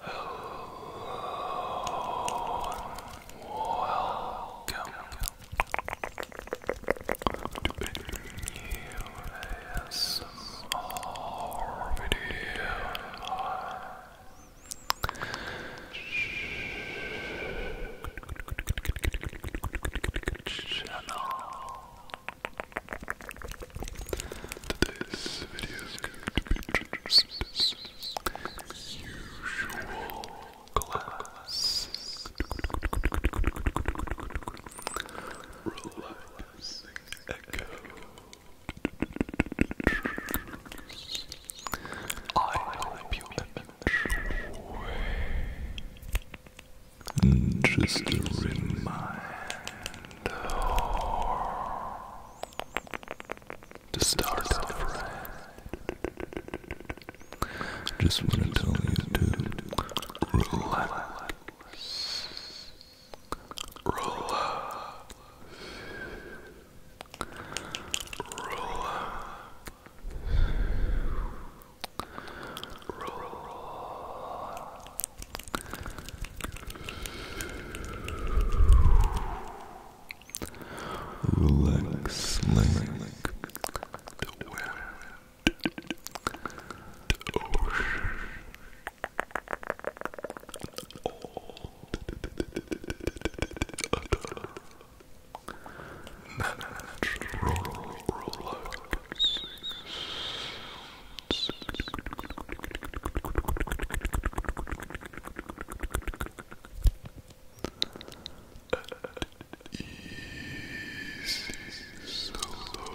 Hello, welcome to a new video. Channel. Today's video is going to be Usual class. Relaxing echo. I hope you enjoy. Just a reminder to start off right. Just want to tell you to relax, relax, relax. Relax. Relax like the wind, the ocean, all the other natural relaxing Easy, slow, relax, Easy, slow,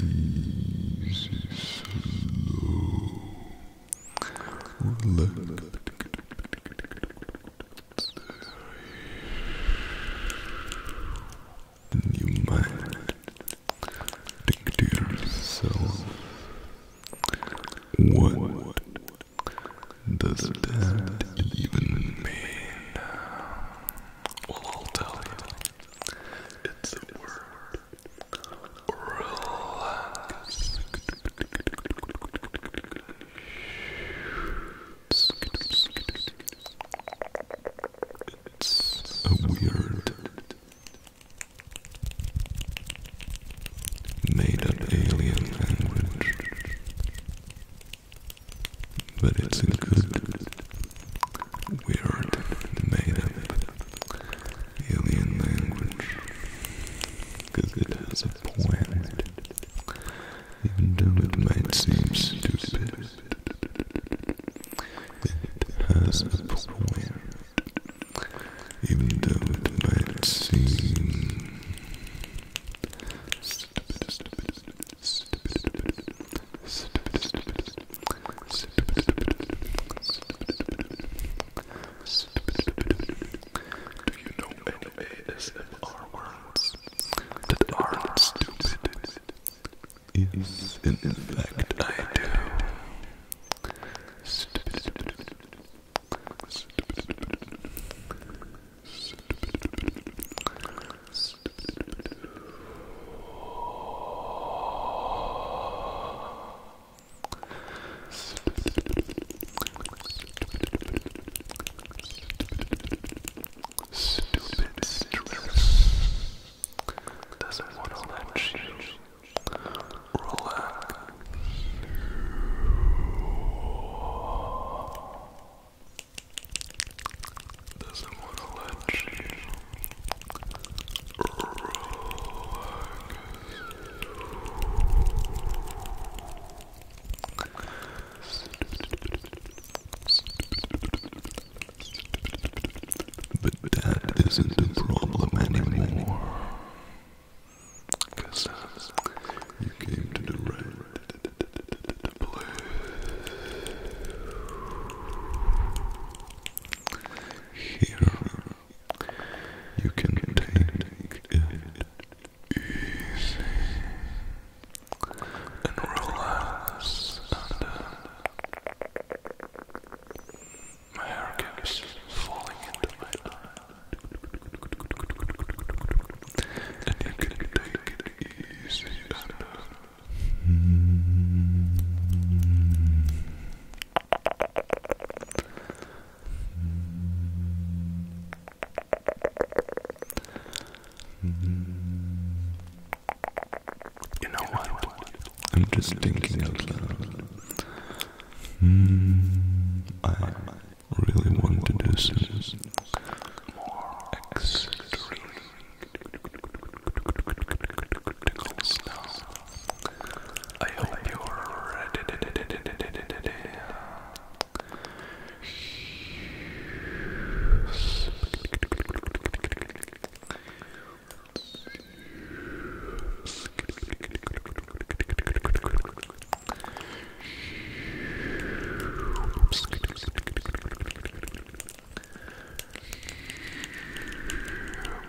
Easy, slow. Relax. You might think to yourself, what does that even mean? Well, I'll tell you. It's the word. Relax. a weird made up alien language, but it's a good weird made up alien language because it has a planet, even though it might seem stupid. It has a point, even though it might seem stupid, stupid, stupid, stupid, stupid, stupid, do you know any ASMR words that aren't stupid? in fact I do. Stupid stress doesn't want to let you relax. Doesn't want to let you but that isn't a problem anymore. Cause you came to the right place. Here you can take it easy and relax my hair keeps falling into my eye and you can take it easy you know what? I'm just thinking out loud. Hmm, I really want to do some extreme I hope you're ready.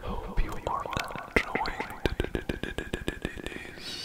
Hope you are enjoying today's Relax.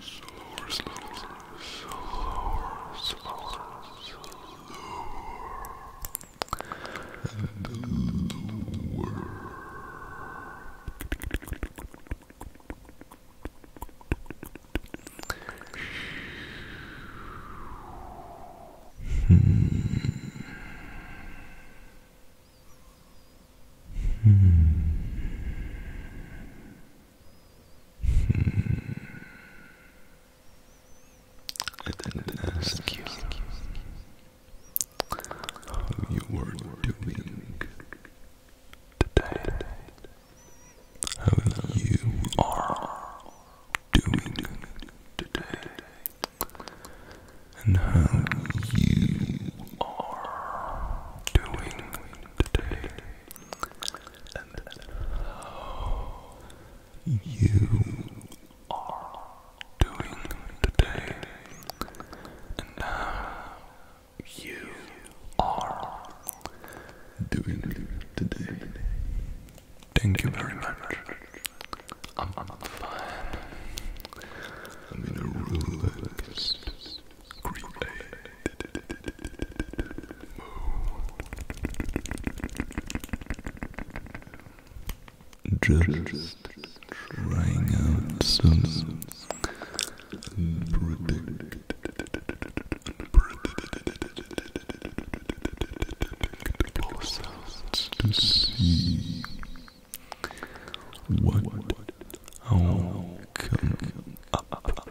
slower, slower, slower, slower, slower, and lower. Hmm. hmm. I didn't you how you were doing today. How you are doing today. And how you are doing today how you are doing today, and how you are doing today. Thank you very much. I'm, I'm fine. I'm in a relaxed, creepy just trying out some predict to see what, how come up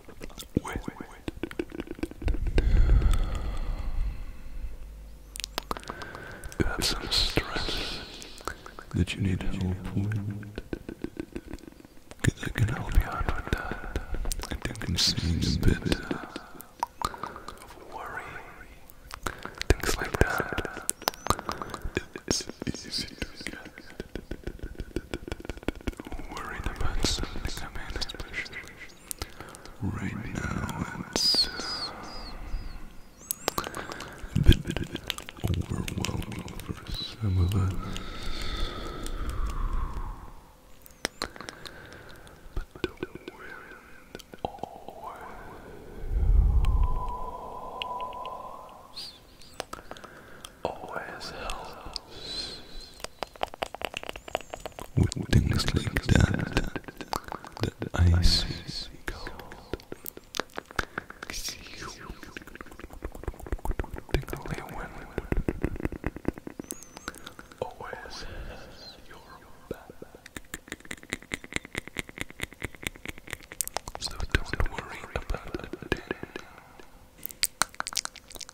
have some stress that you need help with. Cause I can help with that. I think i a bit of worry, things like that. It's to about something. Right, now, it's a uh, bit overwhelming for some of us. But don't worry always, always helps with things like that that I see gold. The only one always has your back. So don't worry about a thing.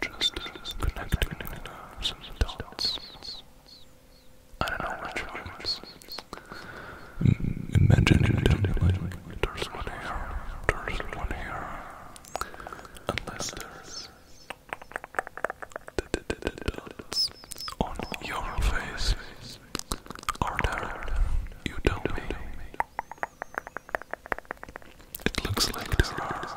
Just connecting the dots. I don't know mm, Imagine them there's one here, there's one here. Unless there's dots on your face are there you don't mean it looks like there are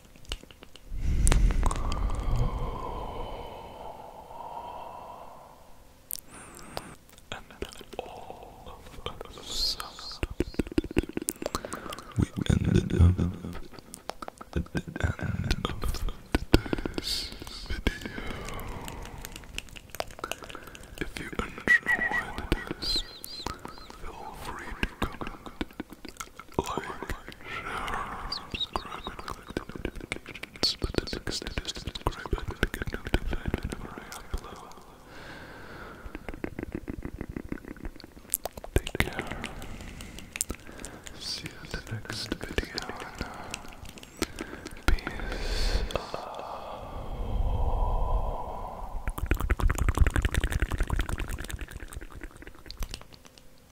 And all of the We ended up at the end of today's video. If you enjoyed this, feel free to like, share, subscribe, and click the notifications. But the next step is to subscribe and to get notified whenever I upload. Take care. See you in the next video. Peace. Oh.